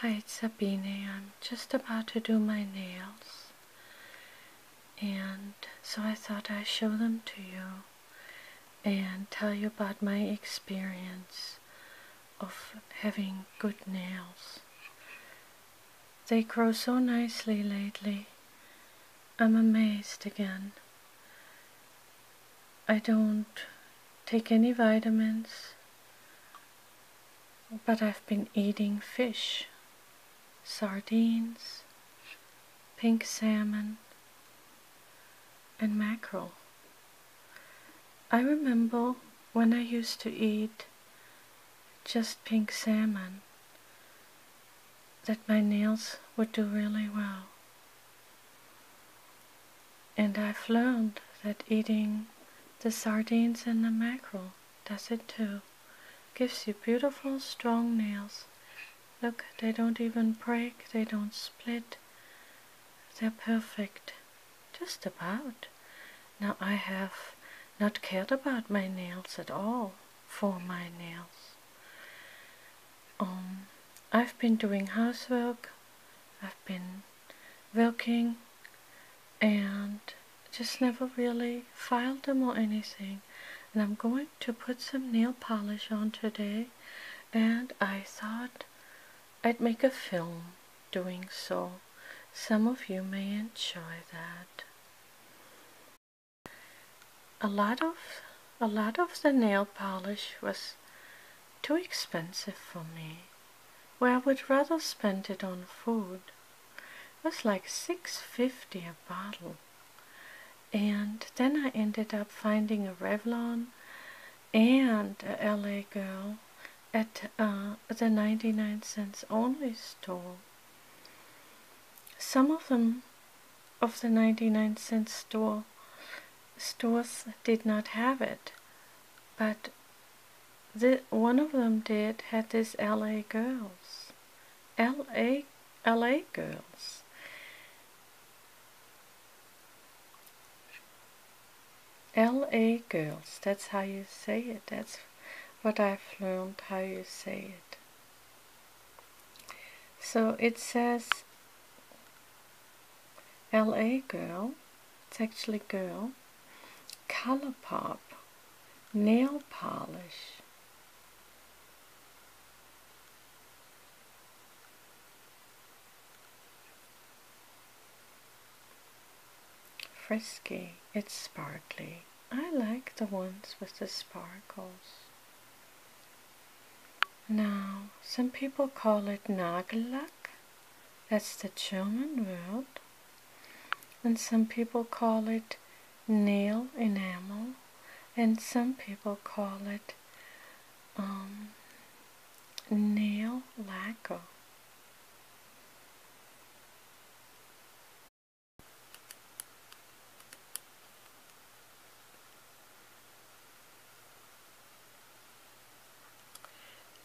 Hi, it's Sabine. I'm just about to do my nails, and so I thought I'd show them to you and tell you about my experience of having good nails. They grow so nicely lately. I'm amazed again. I don't take any vitamins. But I've been eating fish, sardines, pink salmon, and mackerel. I remember when I used to eat just pink salmon that my nails would do really well. And I've learned that eating the sardines and the mackerel does it too. Gives you beautiful strong nails. Look, they don't even break, they don't split. They're perfect. Just about. Now I have not cared about my nails at all for my nails. Um, I've been doing housework. I've been working and just never really filed them or anything and I'm going to put some nail polish on today and I thought I'd make a film doing so some of you may enjoy that a lot of a lot of the nail polish was too expensive for me where I would rather spend it on food. It was like 6.50 a bottle. And then I ended up finding a Revlon and a LA Girl at uh, the 99 cents only store. Some of them of the 99 cent store stores did not have it, but the, one of them did had these LA Girls. LA, LA Girls. LA Girls, that's how you say it. That's what I've learned how you say it. So it says LA Girl, it's actually Girl, Color pop, Nail Polish. Frisky, it's sparkly. I like the ones with the sparkles. Now, some people call it nagellack that's the German word. And some people call it nail enamel, and some people call it um, nail lacquer.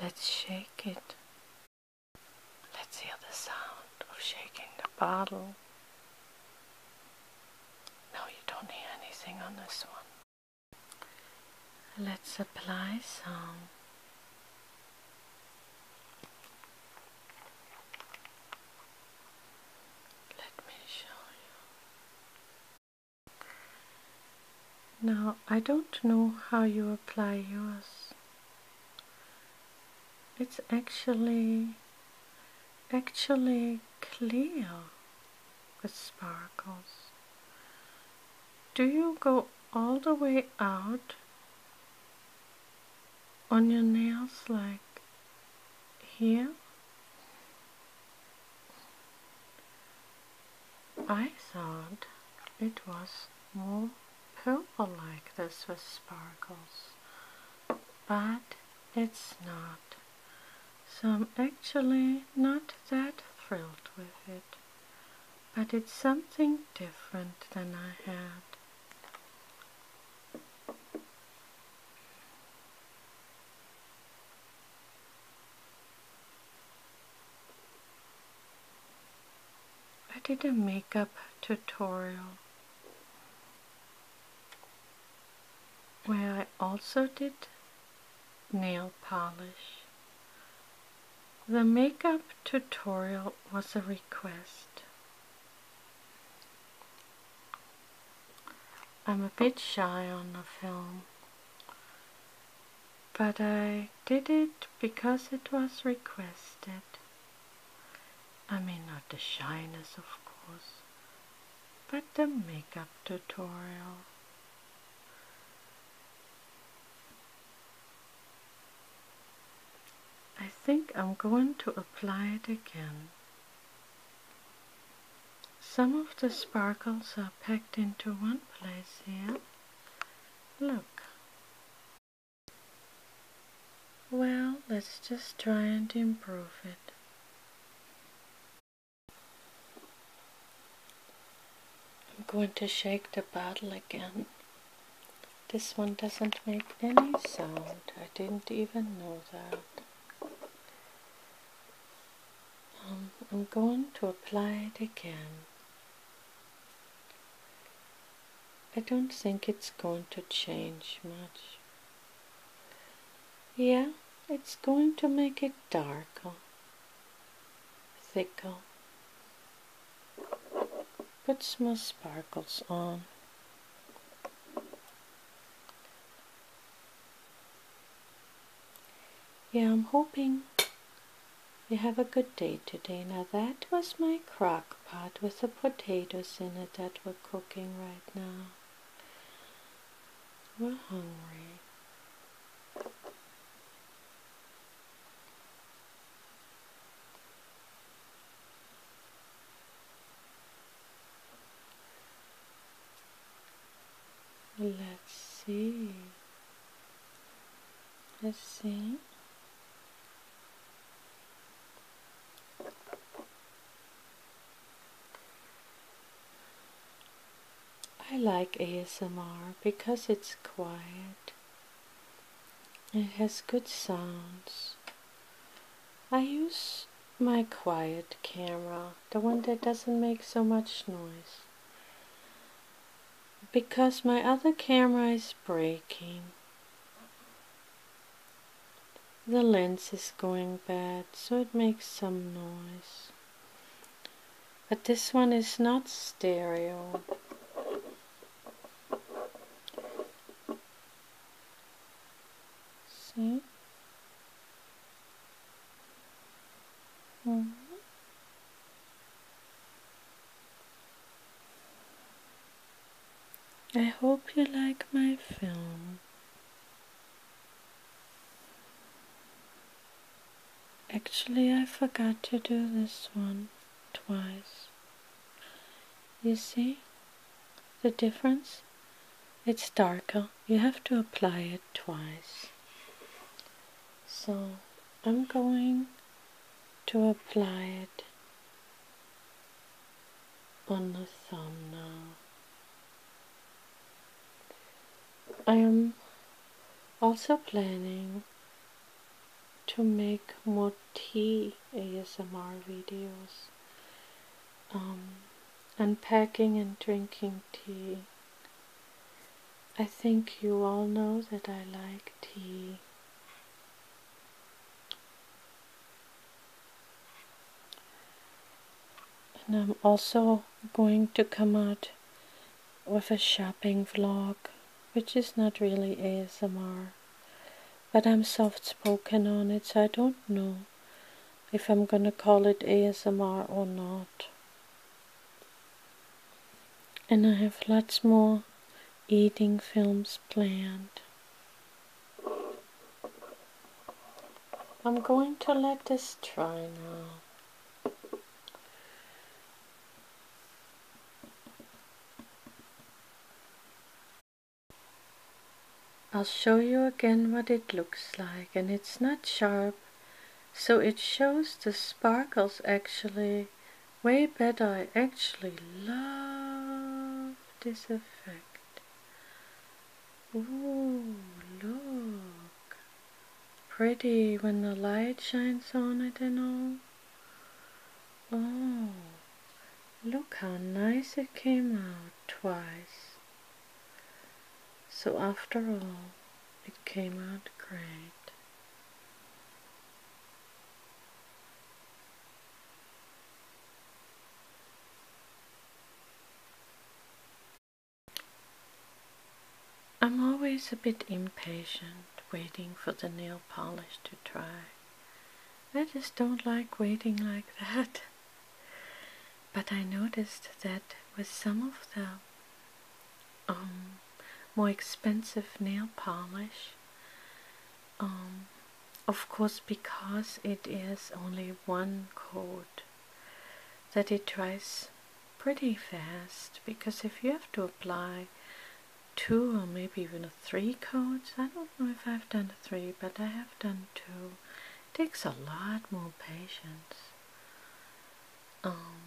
Let's shake it. Let's hear the sound of shaking the bottle. No, you don't hear anything on this one. Let's apply some. Let me show you. Now, I don't know how you apply yours. It's actually, actually clear with sparkles. Do you go all the way out on your nails like here? I thought it was more purple like this with sparkles, but it's not. So I'm actually not that thrilled with it, but it's something different than I had. I did a makeup tutorial where I also did nail polish. The makeup tutorial was a request. I'm a bit shy on the film but I did it because it was requested. I mean, not the shyness, of course, but the makeup tutorial. I think I'm going to apply it again. Some of the sparkles are packed into one place here. Look. Well, let's just try and improve it. I'm going to shake the bottle again. This one doesn't make any sound. I didn't even know that. Um, I'm going to apply it again. I don't think it's going to change much. Yeah, it's going to make it darker, thicker. Put some sparkles on. Yeah, I'm hoping you have a good day today. Now that was my crock pot with the potatoes in it that we're cooking right now. We're hungry. Let's see. Let's see. I like ASMR because it's quiet. It has good sounds. I use my quiet camera, the one that doesn't make so much noise because my other camera is breaking. The lens is going bad, so it makes some noise. But this one is not stereo. See? Mm-hmm. I hope you like my film. Actually, I forgot to do this one twice. You see the difference? It's darker. You have to apply it twice so I'm going to apply it on the thumb now. I am also planning to make more tea ASMR videos, unpacking um, and drinking tea I think you all know that I like tea. And I'm also going to come out with a shopping vlog, which is not really ASMR. But I'm soft-spoken on it, so I don't know if I'm gonna call it ASMR or not. And I have lots more eating films planned. I'm going to let this dry now. I'll show you again what it looks like and it's not sharp so it shows the sparkles actually way better. I actually love this effect. Ooh, look. Pretty when the light shines on it and all. Oh, look how nice it came out twice. So after all, it came out great. I'm always a bit impatient waiting for the nail polish to dry. I just don't like waiting like that. But I noticed that with some of them, um, more expensive nail polish. Um, of course, because it is only one coat, that it dries pretty fast. Because if you have to apply two or maybe even three coats, I don't know if I've done three, but I have done two. It takes a lot more patience. Um,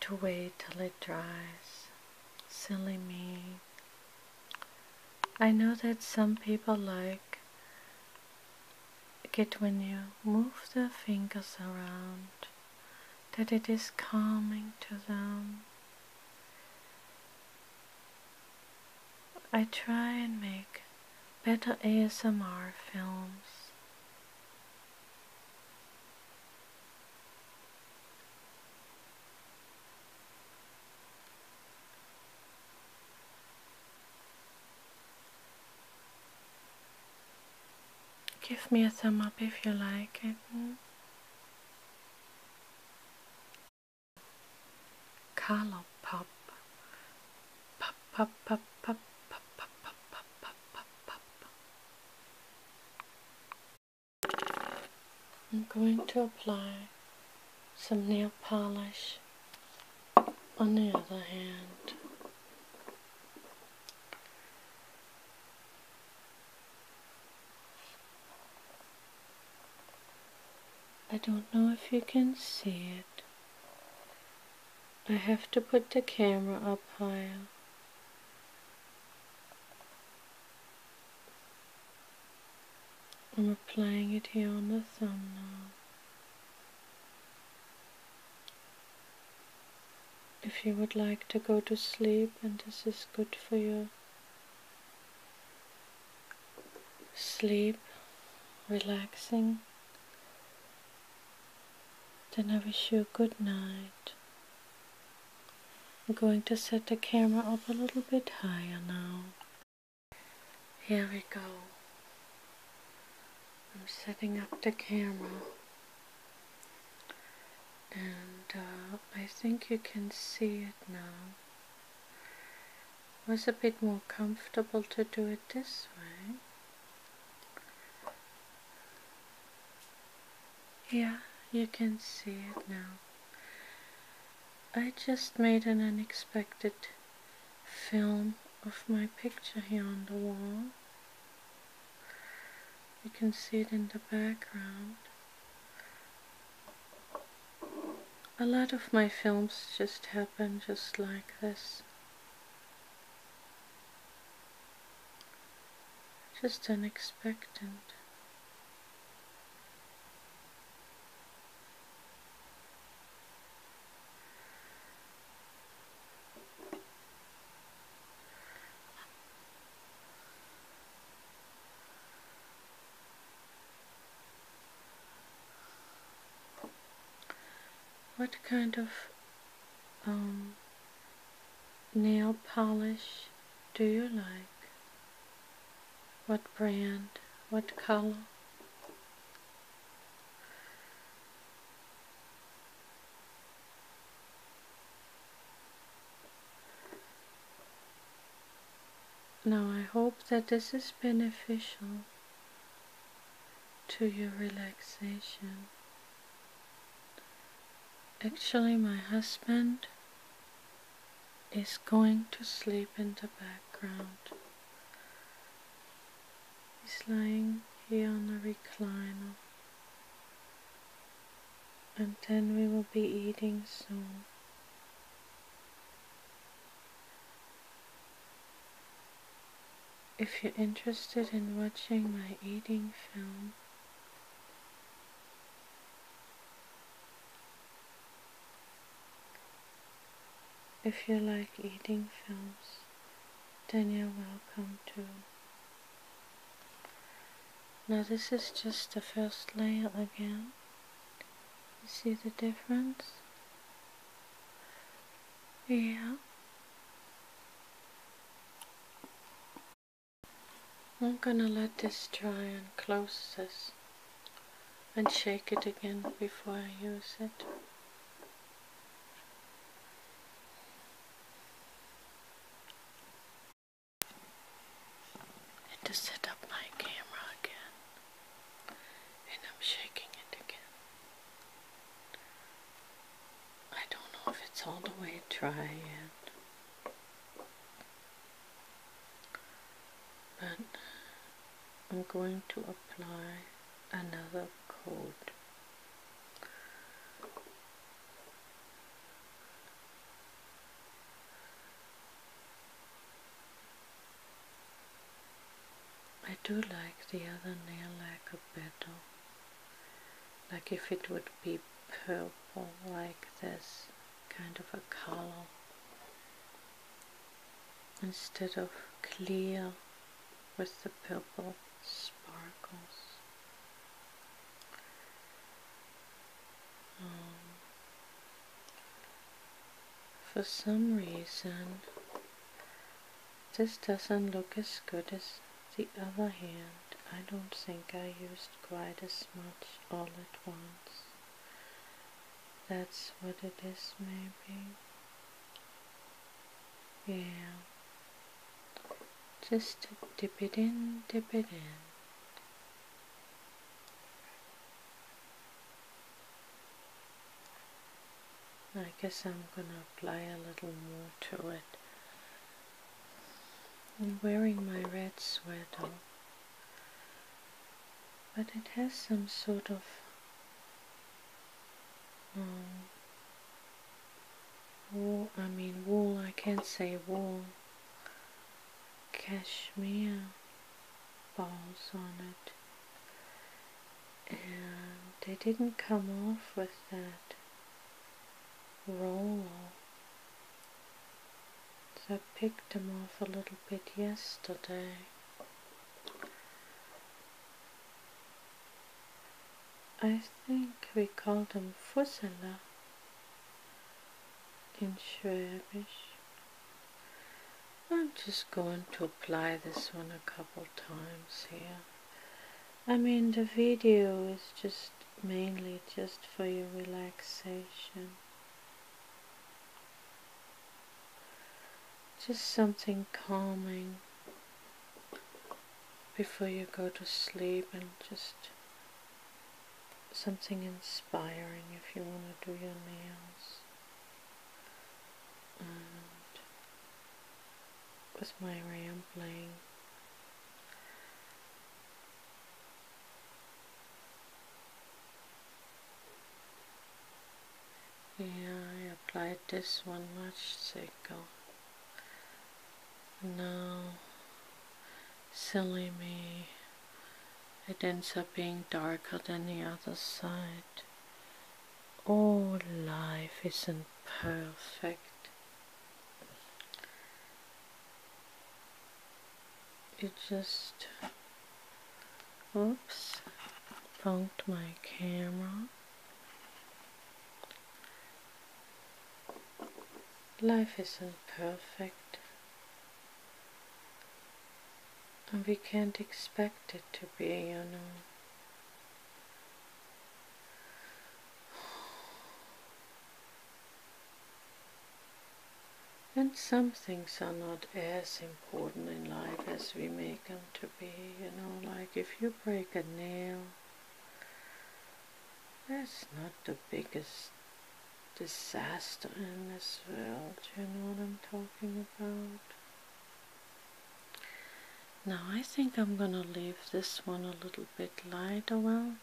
to wait till it dries. Silly me. I know that some people like it when you move their fingers around, that it is calming to them. I try and make better ASMR films. Give me a thumb up if you like it. Color pop I'm going to apply some nail polish on the other hand. I don't know if you can see it, I have to put the camera up high. I'm applying it here on the thumb now. If you would like to go to sleep and this is good for your sleep, relaxing, then I wish you a good night. I'm going to set the camera up a little bit higher now. Here we go. I'm setting up the camera. And uh, I think you can see it now was a bit more comfortable to do it this way. Yeah, you can see it now. I just made an unexpected film of my picture here on the wall. You can see it in the background. A lot of my films just happen just like this just unexpected what kind of um, nail polish do you like? What brand? What color? Now I hope that this is beneficial to your relaxation. Actually, my husband is going to sleep in the background. He's lying here on the recliner. And then we will be eating soon. If you're interested in watching my eating film, if you like eating films, then you're welcome to. Now this is just the first layer again. You see the difference? Yeah. I'm gonna let this dry and close this and shake it again before I use it. And to set up my camera again and I'm shaking it again. I don't know if it's all the way dry yet, but I'm going to apply another coat. I do like the other nail lacquer better, like if it would be purple, like this kind of a color, instead of clear with the purple sparkles. Um, for some reason this doesn't look as good as the other hand. I don't think I used quite as much all at once. That's what it is maybe. Yeah. Just dip it in, dip it in. I guess I'm gonna apply a little more to it. I'm wearing my red sweater, but it has some sort of um, wool, I mean wool, I can't say wool, cashmere balls on it and they didn't come off with that roll. So I picked them off a little bit yesterday. I think we call them fusela in Swedish. I'm just going to apply this one a couple times here. I mean the video is just mainly just for your relaxation. Just something calming before you go to sleep and just something inspiring if you want to do your nails and with my rambling yeah I applied this one much thicker No, silly me it ends up being darker than the other side all life isn't perfect. It just, oops, funked my camera. Life isn't perfect. And we can't expect it to be, you know. And some things are not as important in life as we make them to be, you know, like if you break a nail, that's not the biggest disaster in this world, you know what I'm talking about? Now I think I'm gonna leave this one a little bit lighter one.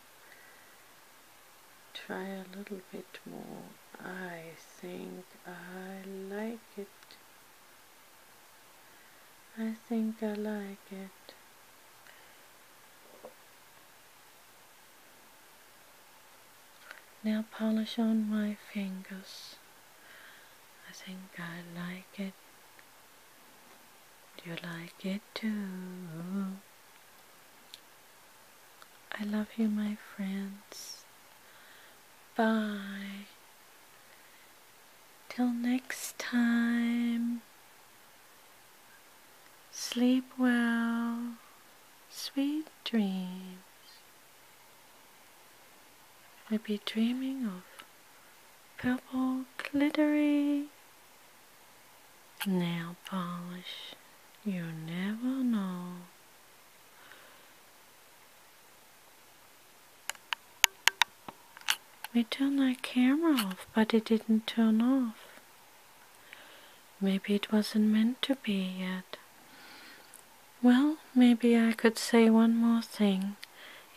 Try a little bit more. I think I like it. I think I like it. Now polish on my fingers. I think I like it. Do you like it too? I love you, my friends. Bye. Till next time. Sleep well. Sweet dreams. Maybe dreaming of purple glittery nail polish. You never know. We turned our camera off, but it didn't turn off. Maybe it wasn't meant to be yet. Well, maybe I could say one more thing.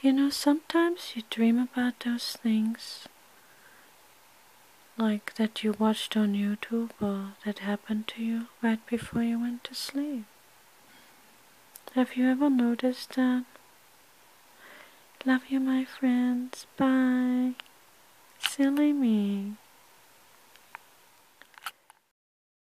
You know, sometimes you dream about those things like that you watched on YouTube or that happened to you right before you went to sleep. Have you ever noticed that? Love you, my friends. Bye. Silly me.